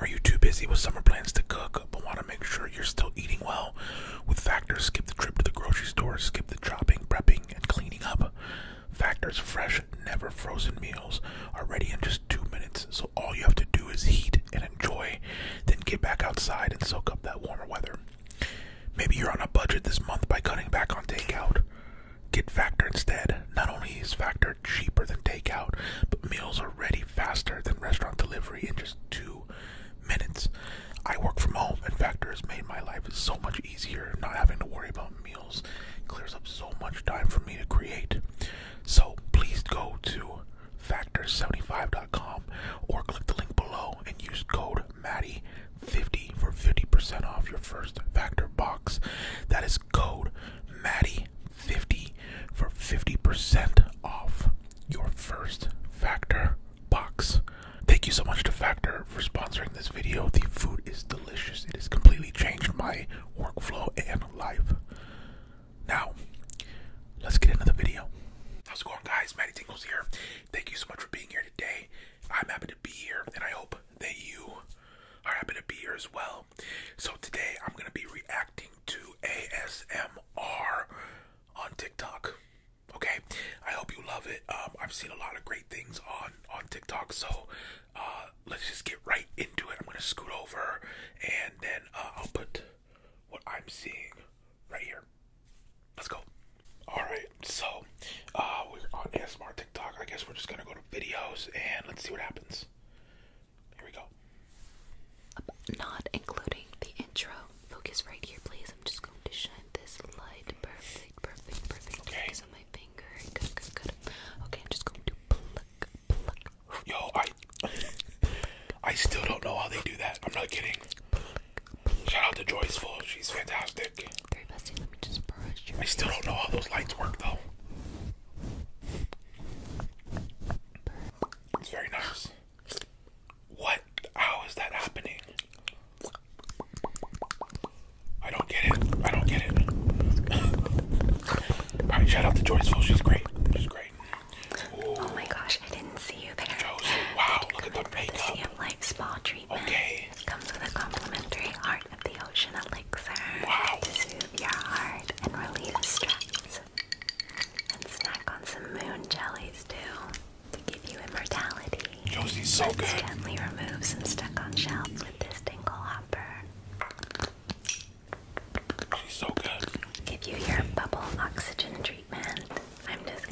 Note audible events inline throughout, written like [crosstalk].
Are you too busy with summer plans to cook but want to make sure you're still eating well? With Factor, skip the trip to the grocery store, skip the chopping, prepping, and cleaning up. Factor's fresh, never frozen meals are ready in just two minutes, so all you have to do is heat and enjoy, then get back outside and soak up that warmer weather. Maybe you're on a budget this month by cutting back on takeout. Get Factor instead. Not only is Factor cheaper than takeout, but meals are ready faster than restaurant delivery in just two minutes. I work from home, and Factor has made my life so much easier, not having to worry about meals. clears up so much time for me to create. So please go to factor75.com or click the link below and use code matty 50 for 50% off your first Factor box. That is code Matty. 50 for 50% off your first Factor box. Thank you so much to Factor for sponsoring this video. The food is delicious. It has completely changed my workflow and life. Now, let's get into the video. How's it going guys? Maddie Tinkles here. Thank you so much for being here today. I'm happy to be here and I hope that you are happy to be here as well. So today I'm going to be reacting to ASMR on TikTok. Okay, I hope you love it. Um, I've seen a lot of great things on on TikTok, so uh, let's just get right into it. I'm gonna scoot over, and then uh, I'll put what I'm seeing right here. Let's go. All right, so uh, we're on ASMR TikTok. I guess we're just gonna go to videos and let's see what happens. Here we go. Not including the intro. Focus right here, please. I'm just going to shine this light. Perfect, perfect, perfect. Okay. Focus on my finger. Good, good, good. Okay, I'm just going to pluck, pluck. Yo, I, I still don't know how they do that. I'm not kidding. Shout out to Joyce Full. She's fantastic. Very bestie. Let me just brush your. I still don't know how those lights work though. It's very nice. What? How is that happening? I don't get it. I don't get it. [laughs] Alright, shout out to Joyceful. She's great. She's great. Oh my gosh, I didn't see you there. Josie, wow, look at the makeup. The Life Spa treatment. Okay. Comes with a complimentary Heart of the Ocean to soothe your heart and relieve stress. And snack on some moon jellies too to give you immortality. Josie's so good. Gently remove some stuck on shelf with this tingle hopper. She's so good. Give you your bubble oxygen treatment. I'm just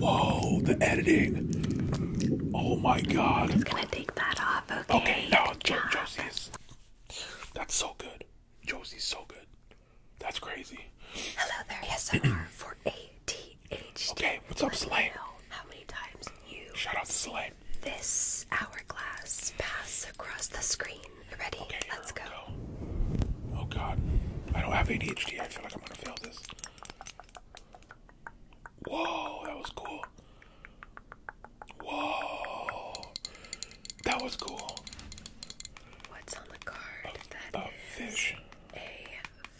Whoa, the editing. Oh my god. I'm just gonna take that off, okay? Okay, no, jo that's so good. Josie's so good. That's crazy. Hello there, Yes, ASMR for ATHD. Okay, what's up, Slay? How many times you shout out to This hourglass pass across the screen. You ready? Let's go. go. Oh God, I don't have ADHD. I feel like I'm gonna fail this. Whoa, that was cool. Whoa, that was cool. What's on the card? A, fish. A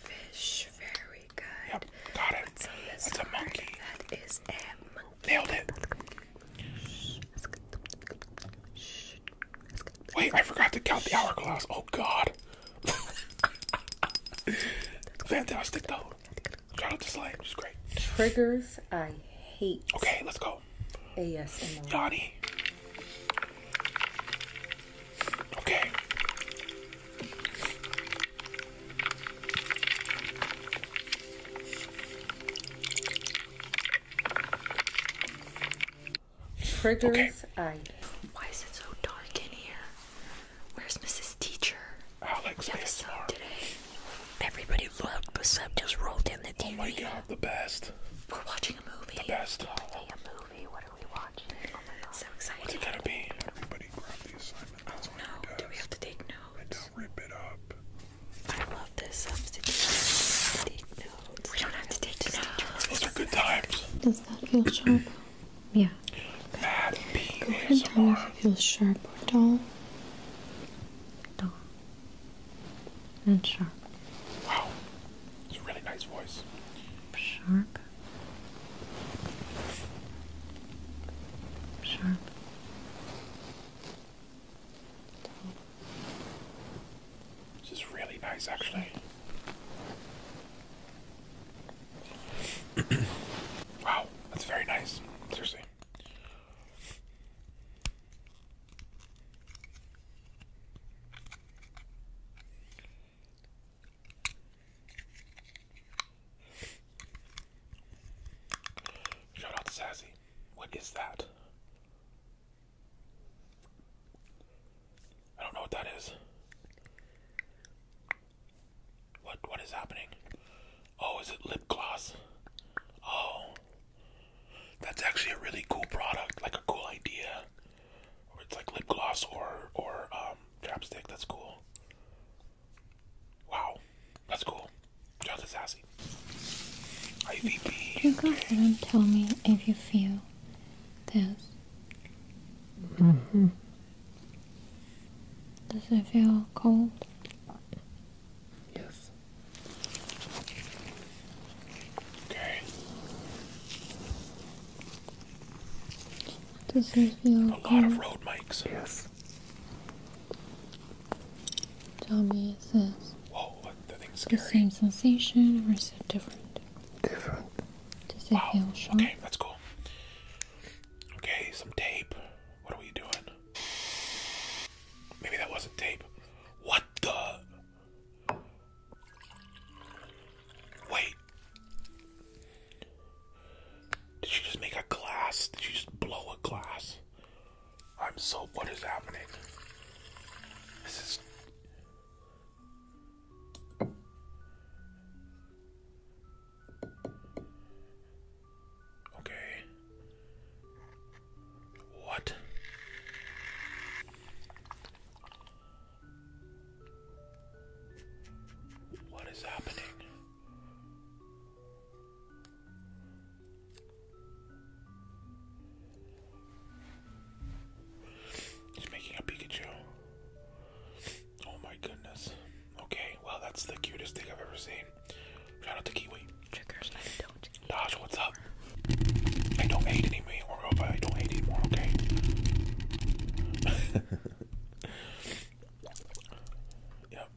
fish. Very good. Yep, got it. it's a monkey. That is a monkey. Nailed it. Wait, I forgot to count the hourglass. Oh God. [laughs] Fantastic though. Y'all just like, it's great. Triggers I hate. Okay, let's go. ASMR. Yanni. Okay. Triggers I. Why is it so dark in here? Where's Mrs. Teacher? Alex, ASMR. today. Everybody looked, but some just rolled in the TV. Oh my the best. We're watching a movie. The best. Oh. A movie. What are we watching? Oh so excited. What's it gonna be? Everybody grab the assignment. That's oh, no. Do we have to take notes? And don't rip it up. I love this substitute. We don't have to take notes. Those are good times. Does that feel sharp? yeah. That being ASMR. Feels sharp or dull dull, and sharp. Wow, it's a really nice voice. Sharp, sharp, This is really nice, actually. [clears throat] wow, that's very nice. Seriously. Shout out to Sassy. What is that? I don't know what that is. What what is happening? Oh, is it lip gloss? Oh. That's actually a really cool product, like a cool idea. It's like lip gloss or or um chapstick. That's cool. Wow, that's cool. Jonathan Sassy. IVP. You go ahead and tell me if you feel this. -hmm. Does it feel cold? Yes. Okay. Does it feel A lot of road mics. Yes. Tell me, is this Whoa, what? the same sensation or is it different? Different. Does it feel sharp? Okay, that's cool. Okay, some tape. What are we doing? Maybe that wasn't tape. What the? Wait. Did she just make a glass? Did she just blow a glass? I'm so. What is happening? This is. Okay. What? What is happening? He's making a Pikachu. Oh my goodness. Okay, well that's the cutest thing I've ever seen. Shout out to Kiwi. Triggers not eat Dash, what's up? I don't hate anymore, I don't hate anymore, okay? [laughs] yep.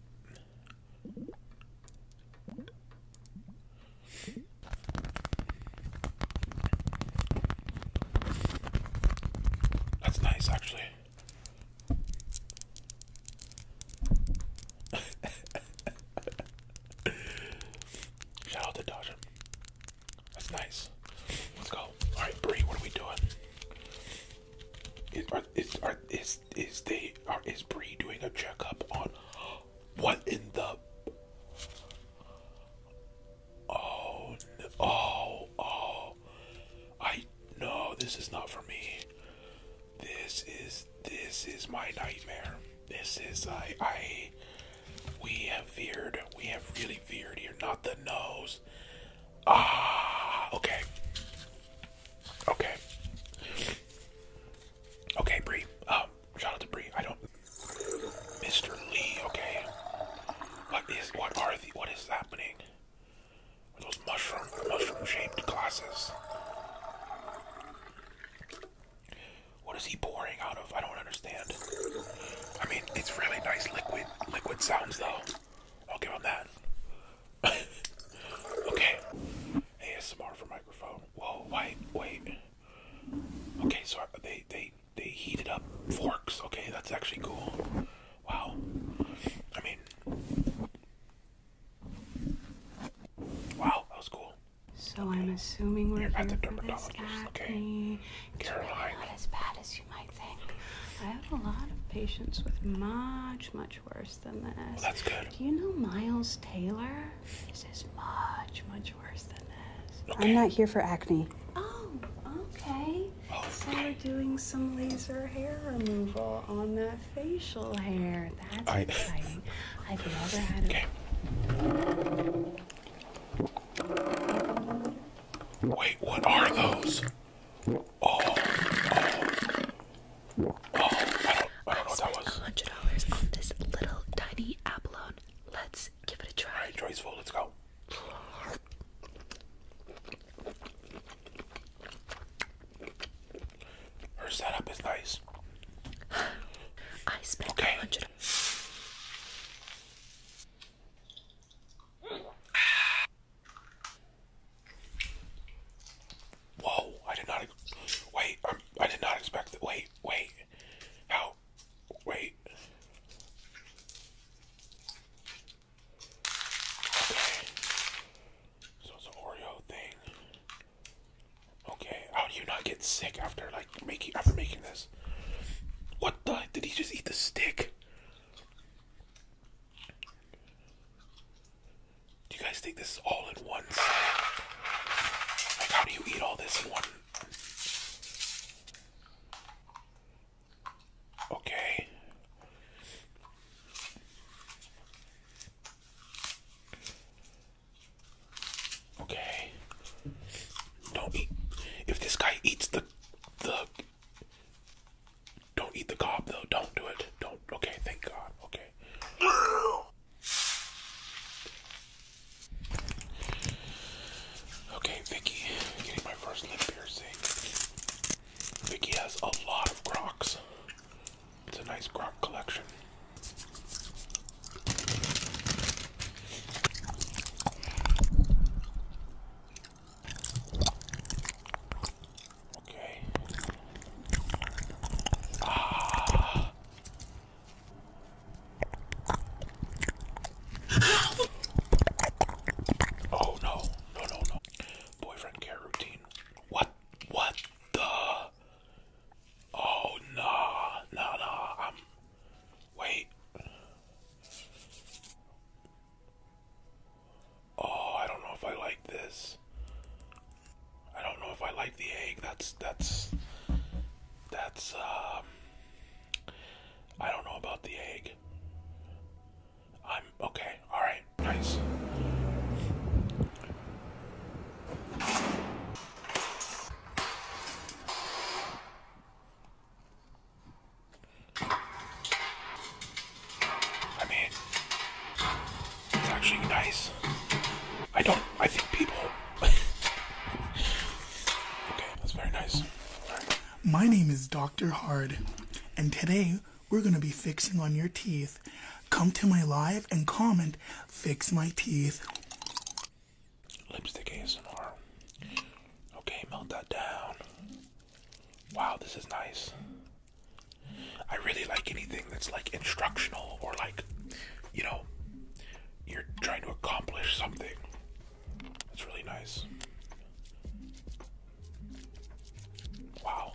That's nice, actually. [laughs] Shout out to Dodger. That's nice. Let's go. All right, Bree, what are we doing? Is are, is are, is is they are is Bree doing a checkup on [gasps] what in the? Oh no! Oh oh! I no, this is not for me. This is this is my nightmare. This is I I we have veered. We have really veered here. Not the nose. Ah okay. Okay. Okay, Bree. Um, shout out to Bree. I don't Mr. Lee, okay. What is what are the what is happening? Or those mushroom, mushroom-shaped glasses. What is he pouring out of? I don't understand. I mean, it's really nice liquid, liquid sounds though. I'll give him that. [laughs] okay. ASMR for microphone. Whoa, wait, wait. Okay, so they they they heated up forks. Okay, that's actually cool. Wow. I mean, Wow, that was cool. So I'm assuming we're You're not the dermatologist, okay? Caroline. Not as bad as you might think. I have a lot of patients with much, much worse than this. that's good. Do you know Miles Taylor? This is much, much worse than this. I'm not here for acne. Oh, okay. So we're doing some laser hair removal on that facial hair. That's exciting. I've never had it. Wait, what are those? Oh, oh, oh! oh I don't, hundred dollars on this little tiny abalone. Let's give it a try. All right, Joyceful, let's go. Her setup is nice. I spent okay. hundred. Whoa! I did not. Wait! Um, I did not expect that. Wait! Wait! How? Wait! Okay. So it's an Oreo thing. Okay, how do you not get sick after like making after making this? What the did he just eat the stick? Do you guys think this is all in one Like how do you eat all this in one? Okay. Okay. Don't eat. If this guy eats the the don't eat the cop though. Don't do it. Don't. Okay. Thank God. Okay. Okay, Vicky, getting my first lip piercing. Vicky has a lot of Crocs. It's a nice Croc collection. Okay. Ah. [gasps] Oh no, no, no, no. Boyfriend care routine. What? What the? Oh, no! No no! i Wait. Oh, I don't know if I like this. I don't know if I like the egg. That's that's that's um I don't know about the egg. I'm okay. All right. Nice. I mean, it's actually nice. I don't. I think people. [laughs] okay, that's very nice. My name is Dr. Hard, and today we're going to be fixing on your teeth. Come to my live and comment, fix my teeth. Lipstick ASMR. Okay, melt that down. Wow, this is nice. I really like anything that's like instructional or like, you know, you're trying to accomplish something. That's really nice. Wow.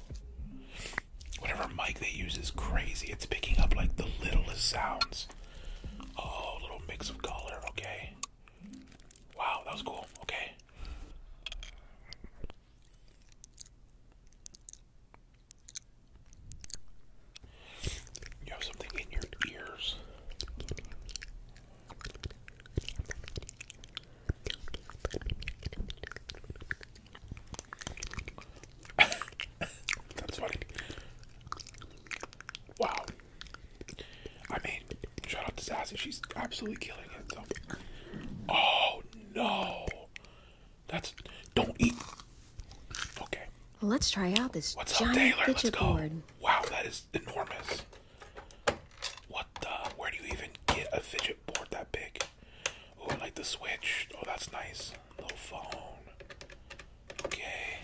Whatever mic they use is crazy. It's picking up like the littlest sounds. Oh, little mix of color. Okay. Wow, that was cool. Okay. You have something in your ears. That's funny. Wow. I mean, shout out to Sassy. She's absolutely killing it. So. Oh no. That's don't eat. Okay. let's try out this What's giant up, Taylor? Let's board. Wow, that is enormous. What the? Where do you even get a fidget board that big? Oh, I like the Switch. Oh, that's nice. Little phone. Okay.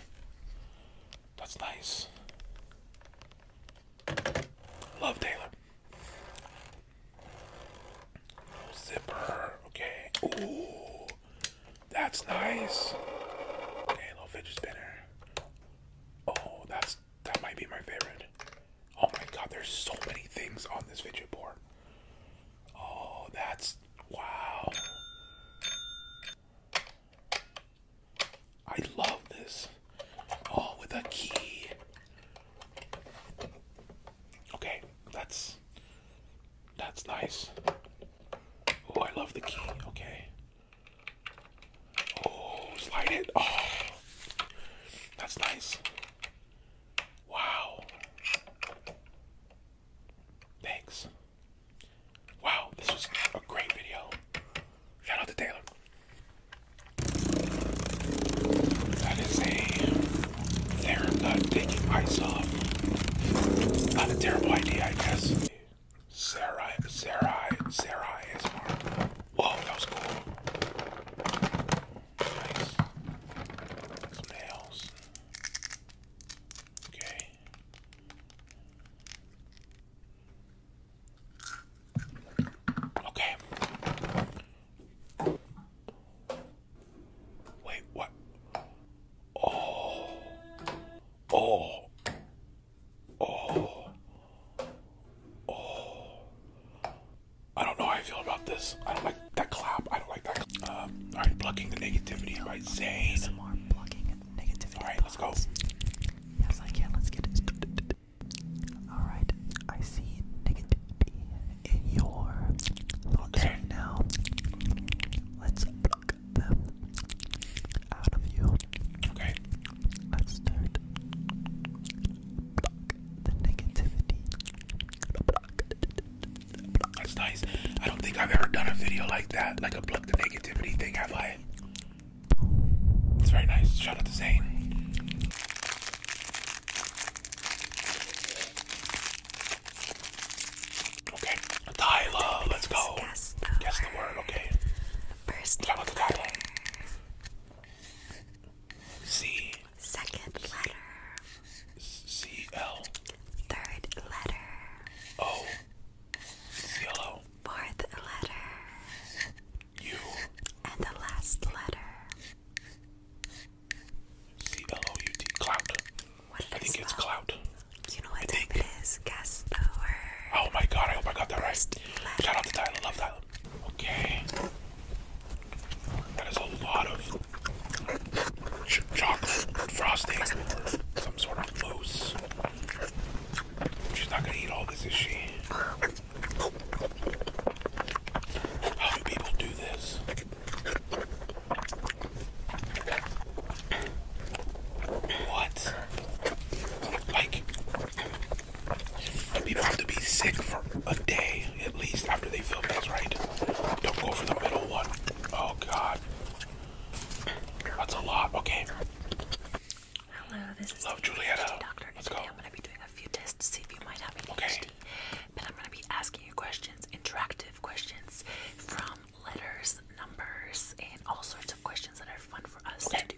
That's nice. Love Taylor. zipper. Okay. Ooh. That's nice. little fidget spinner. Oh, that's that might be my favorite. Oh my god, there's so many things on this fidget board. Oh, that's wow. I love this. Oh, with a key. Okay, that's that's nice. Oh, I love the key. Okay. Oh, slide it. Oh, that's nice. Wow. Thanks. Wow, this was a great video. Shout out to Taylor. That is a terrible idea, I guess. Sarai, Sarai, Sarai is more. Whoa, that was cool. Nice. Some nails. Okay. Okay. Wait, what? Oh. Oh. Oh. Oh, I don't know how I feel about this. I don't like that clap. I don't like that. Uh, all right, blocking the negativity All right, Zane. Some more negativity. All right, let's go. Yes, I can. Let's get it. All right, I see negativity in your thoughts okay. now. Let's pluck them out of you. Okay. Let's start. Block the negativity. That's nice. I don't think I've ever done a video like that, like a block the negativity thing, have I? It's very nice. Shout out to Zane. Okay, Tyla, let's go. Guess the, word, okay. First, Tyla. C. Second letter. C L. Third letter. O. It's yellow. Fourth letter. U. And the last letter. C L O U T. Clout. What I think spell? it's clout. You know what I type think. it is? Guess the word. Oh my god, I hope I got that right. Shout out to Tyler. Love that. Okay. That is a lot of chocolate frosting some sort of mousse. She's not gonna eat all this, is she? How do people do this? What? Like, People have to be sick for a day at least after they film this, right? Don't go for the middle one. Oh god. That's a lot. Okay. Hello, this is Doctor. Let's go. I'm gonna be doing a few tests to see if you might have ADHD. Okay. But I'm gonna be asking you questions, interactive questions from letters, numbers, and all sorts of questions that are fun for us to do.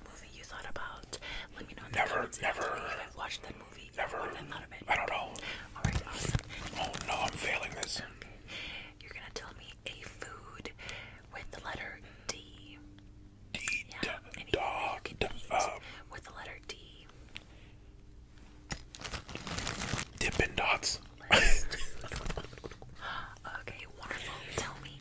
that movie you know. never, never. i Never. I don't know. Oh no, I'm failing this. You're gonna tell me a food with the letter D. D. dog. Uh, with the letter D. Dippin' dots. [laughs] okay, wonderful. Tell me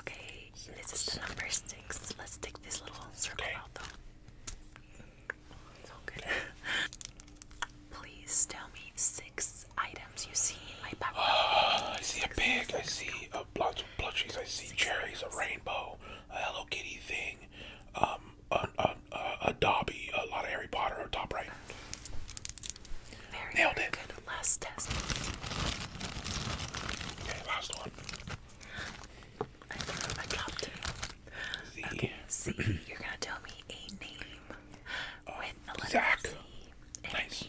Okay, this is the number six. Let's take this little circle out though. It's [laughs] Please tell me six items you see in my background. Uh, ah, I see a pig, I see a bunch of plushies, I see cherries, a rainbow, a Hello Kitty thing, um, a, a, a, Dobby, a lot of Harry Potter on top right. Very, Nailed last test. Okay, last one. I, I dropped it. Z. Okay, Z. [clears throat] You're gonna tell me a name uh, with a letter Zach. Z. Nice.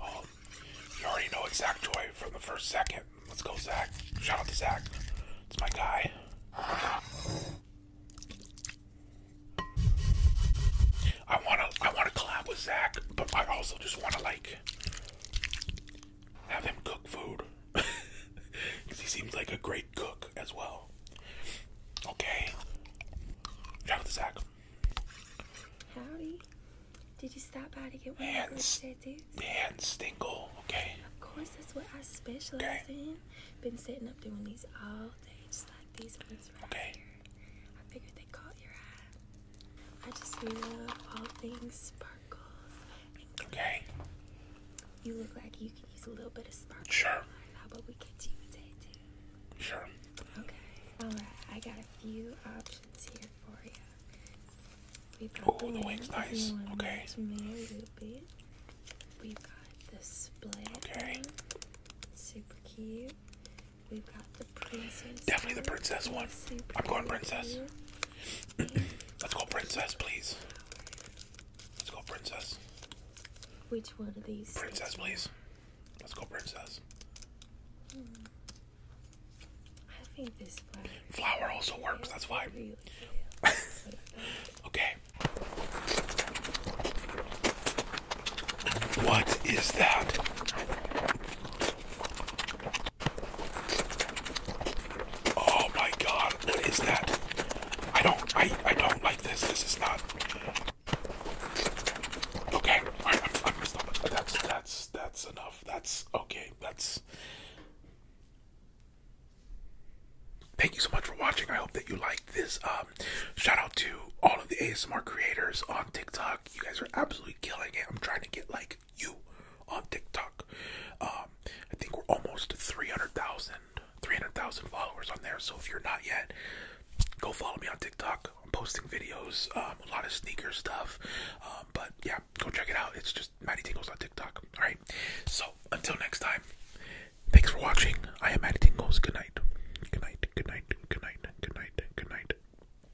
Um, you already know it's Zach Joy from the first second. Let's go, Zach. Shout out to Zach. It's my guy. [laughs] I wanna I wanna collab with Zach, but I also just wanna like have him cook food. Because [laughs] he seems like a great cook as well. Okay. Shout out to Zach. Howdy. Did you stop by to get one of those tattoos? Dan Stinkle, okay. Of course, that's what I specialize in. Been setting up doing these all day, just like these ones right okay. I just love all things sparkles Okay. You look like you can use a little bit of sparkle. Sure. How about we Sure. Okay. Alright, I got a few options here for you. We've got Ooh, the, wing's nice. Okay. Okay. Super cute. We've got the princess. Definitely the princess one. I'm going princess. [clears throat] Let's go princess, please. Let's go princess. Which one of these? Princess, please. Let's go princess. Hmm. I think this flower. Flower also works. That's why. [laughs] okay. What is that? Oh my god, what is that? I don't I I don't like this. This is not Okay, alright, I'm I'm gonna stop it. That's that's that's enough. That's okay, that's Thank you so much for watching. I hope that you liked this. Um, shout out to all of the ASMR creators on TikTok. You guys are absolutely killing it. I'm trying to get like you on TikTok. Um, I think we're almost 300,000 300,000 followers on there. So if you're not yet, go follow me on TikTok. I'm posting videos, um, a lot of sneaker stuff. Um, but yeah, go check it out. It's just Maddie Tingles on TikTok. All right. So until next time, thanks for watching. I am Maddie Tingles. Good night. Good night. Good night. Good night. Good night. Good night.